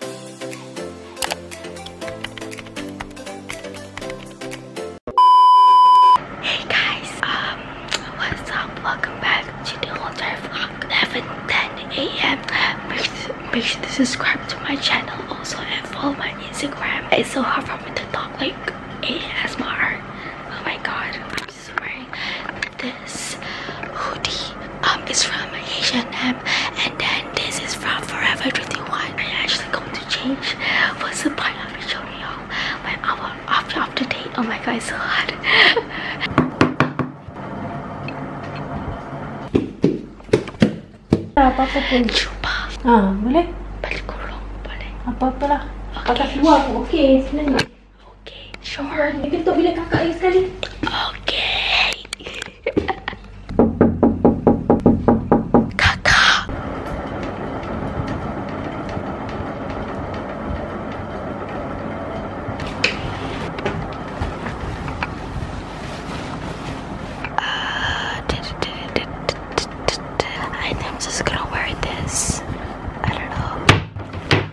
Hey guys, um, what's up? Welcome back to the entire vlog. 11 10 a.m. Make, sure to subscribe to my channel also and follow my Instagram. It's so hard for me to talk like ASMR. Oh my god. I'm just wearing this hoodie um is from Asian app and then this is from Forever 21. I I'm actually going to change what's the point of the showing you when our after to date. Oh my god so hard. apa apa pun. Ah boleh? Balik kurung boleh. Apa apalah. Okay. Kakak keluar pun Okay sure. Dia ketuk bila kakak Okay. I I'm just gonna wear this. I don't know.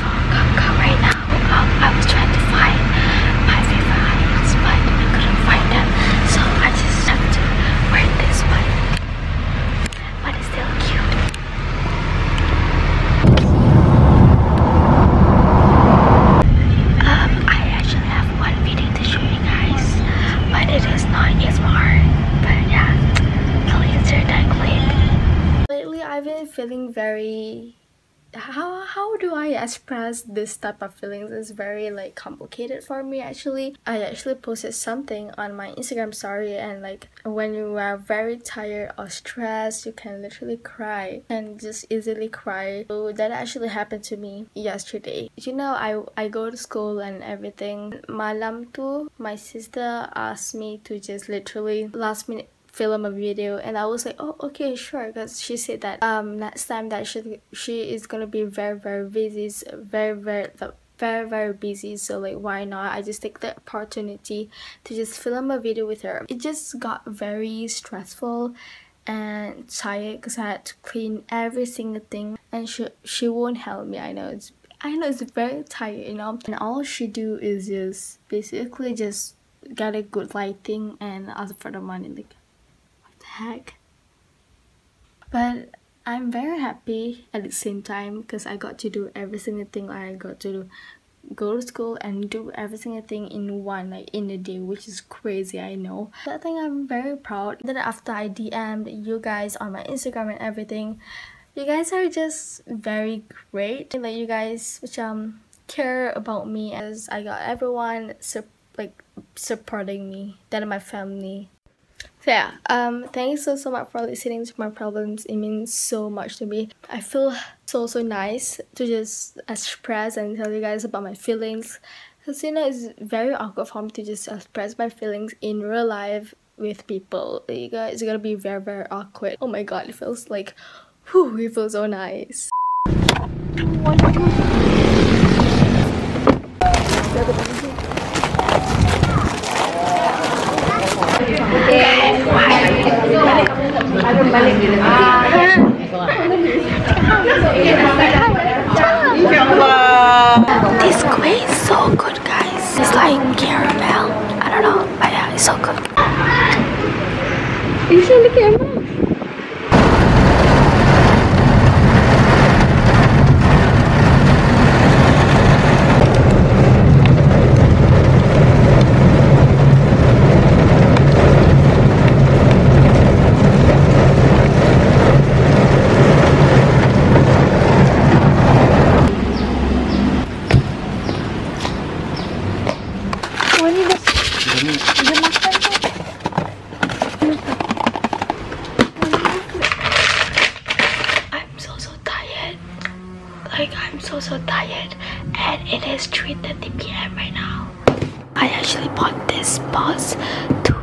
right now. I was trying to find my favorite honey's, but I couldn't find them. So I just have to wear this one. But it's still cute. Um, I actually have one video to show you guys, but it is not ASMR. But yeah, please do that click. Lately, I've been feeling very how how do I express this type of feelings It's very like complicated for me actually. I actually posted something on my Instagram Sorry, and like when you are very tired or stressed you can literally cry and just easily cry. So that actually happened to me yesterday. You know I I go to school and everything. Malam my sister asked me to just literally last minute film a video and I was like oh okay sure because she said that um next time that she she is gonna be very very busy very very very very busy so like why not I just take the opportunity to just film a video with her it just got very stressful and tired because I had to clean every single thing and she she won't help me I know it's I know it's very tired, you know. And all she do is just basically just get a good lighting and ask for the money. Like, what the heck? But I'm very happy at the same time because I got to do every single thing I got to do. Go to school and do every single thing in one, like in a day, which is crazy, I know. But I think I'm very proud that after I DM'd you guys on my Instagram and everything, you guys are just very great like you guys which um care about me as I got everyone su like supporting me then my family so yeah um thanks so so much for listening to my problems it means so much to me I feel so so nice to just express and tell you guys about my feelings because you know it's very awkward for me to just express my feelings in real life with people. You guys, are gonna be very, very awkward. Oh my god, it feels like, whew, it feels so nice. This queen is so it's like caramel. I don't know, but yeah, it's so good. Is she in the camera? I'm so so tired. Like I'm so so tired and it is 3.30 pm right now. I actually bought this bus to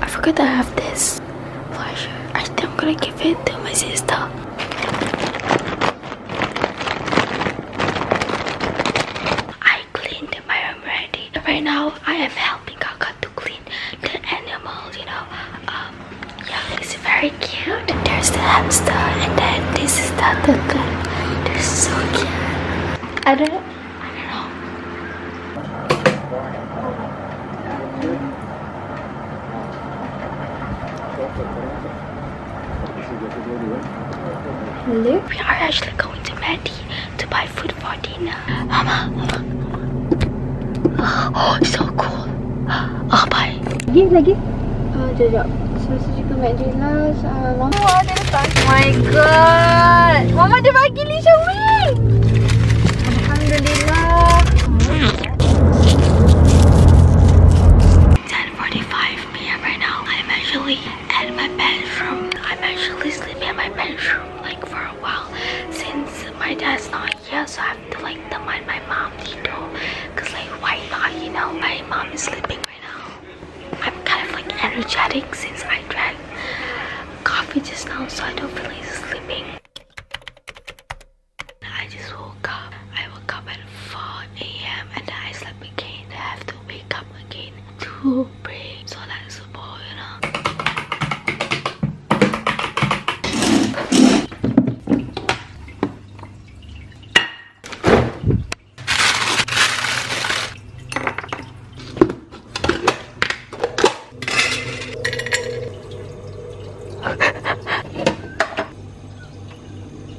I forgot I have this flasher. I think I'm gonna give it to my sister. I cleaned my room already. Right now, I am helping Kaka to clean the animals. you know. Um, yeah, it's very cute. There's the hamster, and then this is the duckling. They're so cute. I don't Luke, we are actually going to Maddie to buy food for dinner. Mama, oh, so cool. Oh, bye. Lagi, lagi. Oh, jejak. Selesai juga McDonald's. Uh, oh, ada letak. Oh my god. Mama ada bagi 10.45 p.m. right now. I'm actually at my bedroom. I'm actually sleeping in my bedroom like for a while since my dad's not here so I have to like mind my mom, Tito. Cause like why not, you know? My mom is sleeping right now. I'm kind of like energetic since I drank coffee just now so I don't feel like sleeping. I just woke up. I woke up at 4 a.m. and I slept again. I have to wake up again to pray. So that's the ball, you know.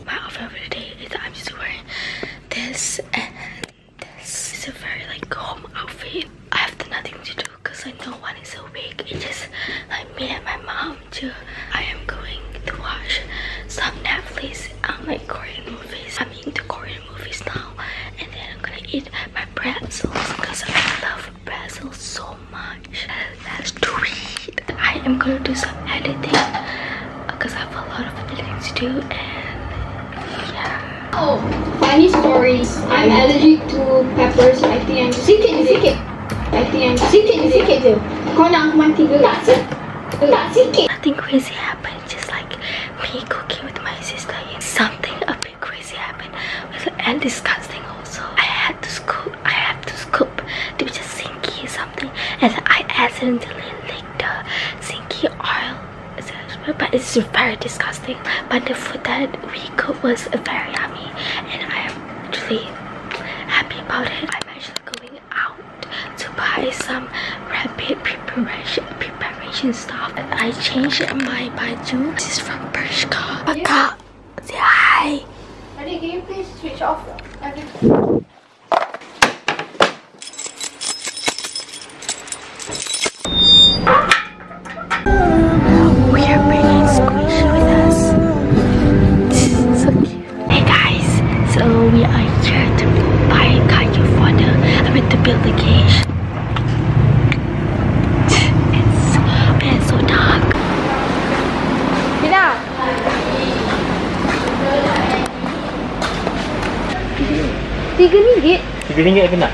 My outfit for today is I'm just wearing this and this. It's a very like home outfit. I have nothing to do because like no one is big. It's just like me and my mom too. I am going to watch some Netflix I'm like Korean movies. I'm into Korean watch movies now and then I'm gonna eat my pretzels because I love pretzels so much. Let's do it. I am gonna do some editing because I have a lot of editing to do and yeah. Oh, funny stories. I'm allergic to peppers. I think I'm sikit sikit. I think I'm sikit sikit je. Kau nak aku mati ke? Tak sikit. Tak sikit. Nothing crazy happened. Just like me cooking with my sister and something a bit crazy happened and disgusting also I had to scoop I had to scoop the sinky something and I accidentally licked the sinky oil but it's very disgusting but the food that we cooked was very yummy and I am actually happy about it I'm actually going out to buy some rapid preparation preparation stuff. I changed my baju. This is from Bershka. Yeah. Say hi. Daddy, can you please switch off We are bringing Squishy with us. Hey guys, so we are here to buy a car for the, I mean to build the cage. It's, it's so dark. Mina! Tiga ringgit? Tiga ringgit apa nak?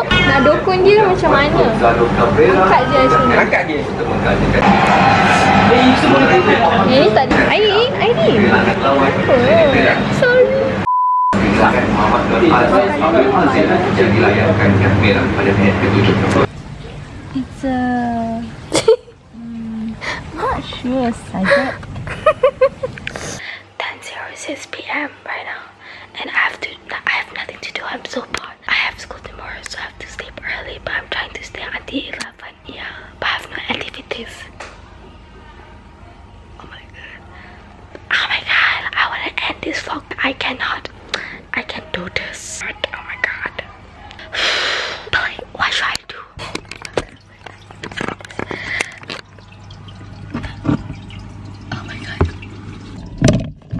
nak dokun lah. dia macam mana? Angkat je macam ni. Angkat je. Eh, eh tak ada air. Air ni. Oh, sorry. Eh, lah It's uh, a... Hmm, not sure, Sajat. Dan 06 PM right now. And I have to, I have nothing to do. I'm so bored. I have school tomorrow, so I have to sleep early, but I'm trying to stay until 11. Yeah, but I have no activities. Oh my god. Oh my god, I wanna end this vlog. I cannot. I can't do this. Oh my god. But should I do? Oh my god. Oh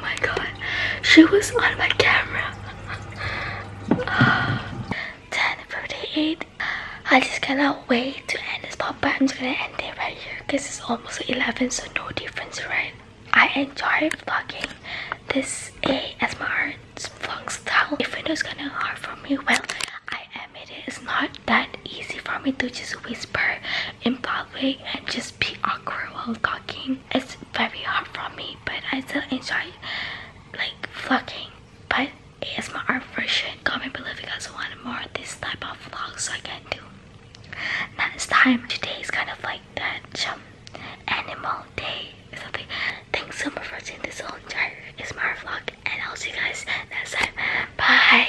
my god, she was on my camera. 10:48. Ah, I just cannot wait to end this podcast but I'm just gonna end it right here because it's almost 11 so no difference right I enjoy vlogging this ASMR vlog style If though it's kind of hard for me well I admit it's not that easy for me to just whisper in public and just be awkward while talking it's very hard for me but I still enjoy like vlogging but ASMR version comment below if you guys want more of this type of vlog so I can do Next time, today is kind of like that um, animal day or something. Thanks so much for seeing this whole entire ASMR vlog, and I'll see you guys next time. Bye.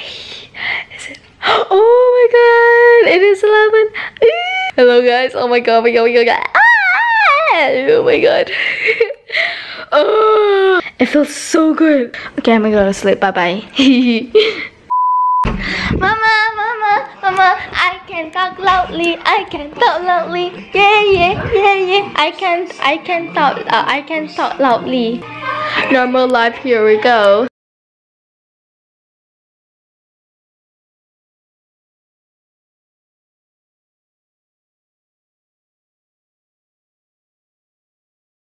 Is it? Oh my god! It is 11. Hello guys. Oh my god. Oh my god. Oh my god. Ah! Oh my god. oh, it feels so good. Okay, I'm gonna go to sleep. Bye bye. Mama, mama, mama, I can talk loudly. I can talk loudly. Yeah, yeah, yeah, yeah. I can, I can talk, uh, I can talk loudly. Normal life. Here we go.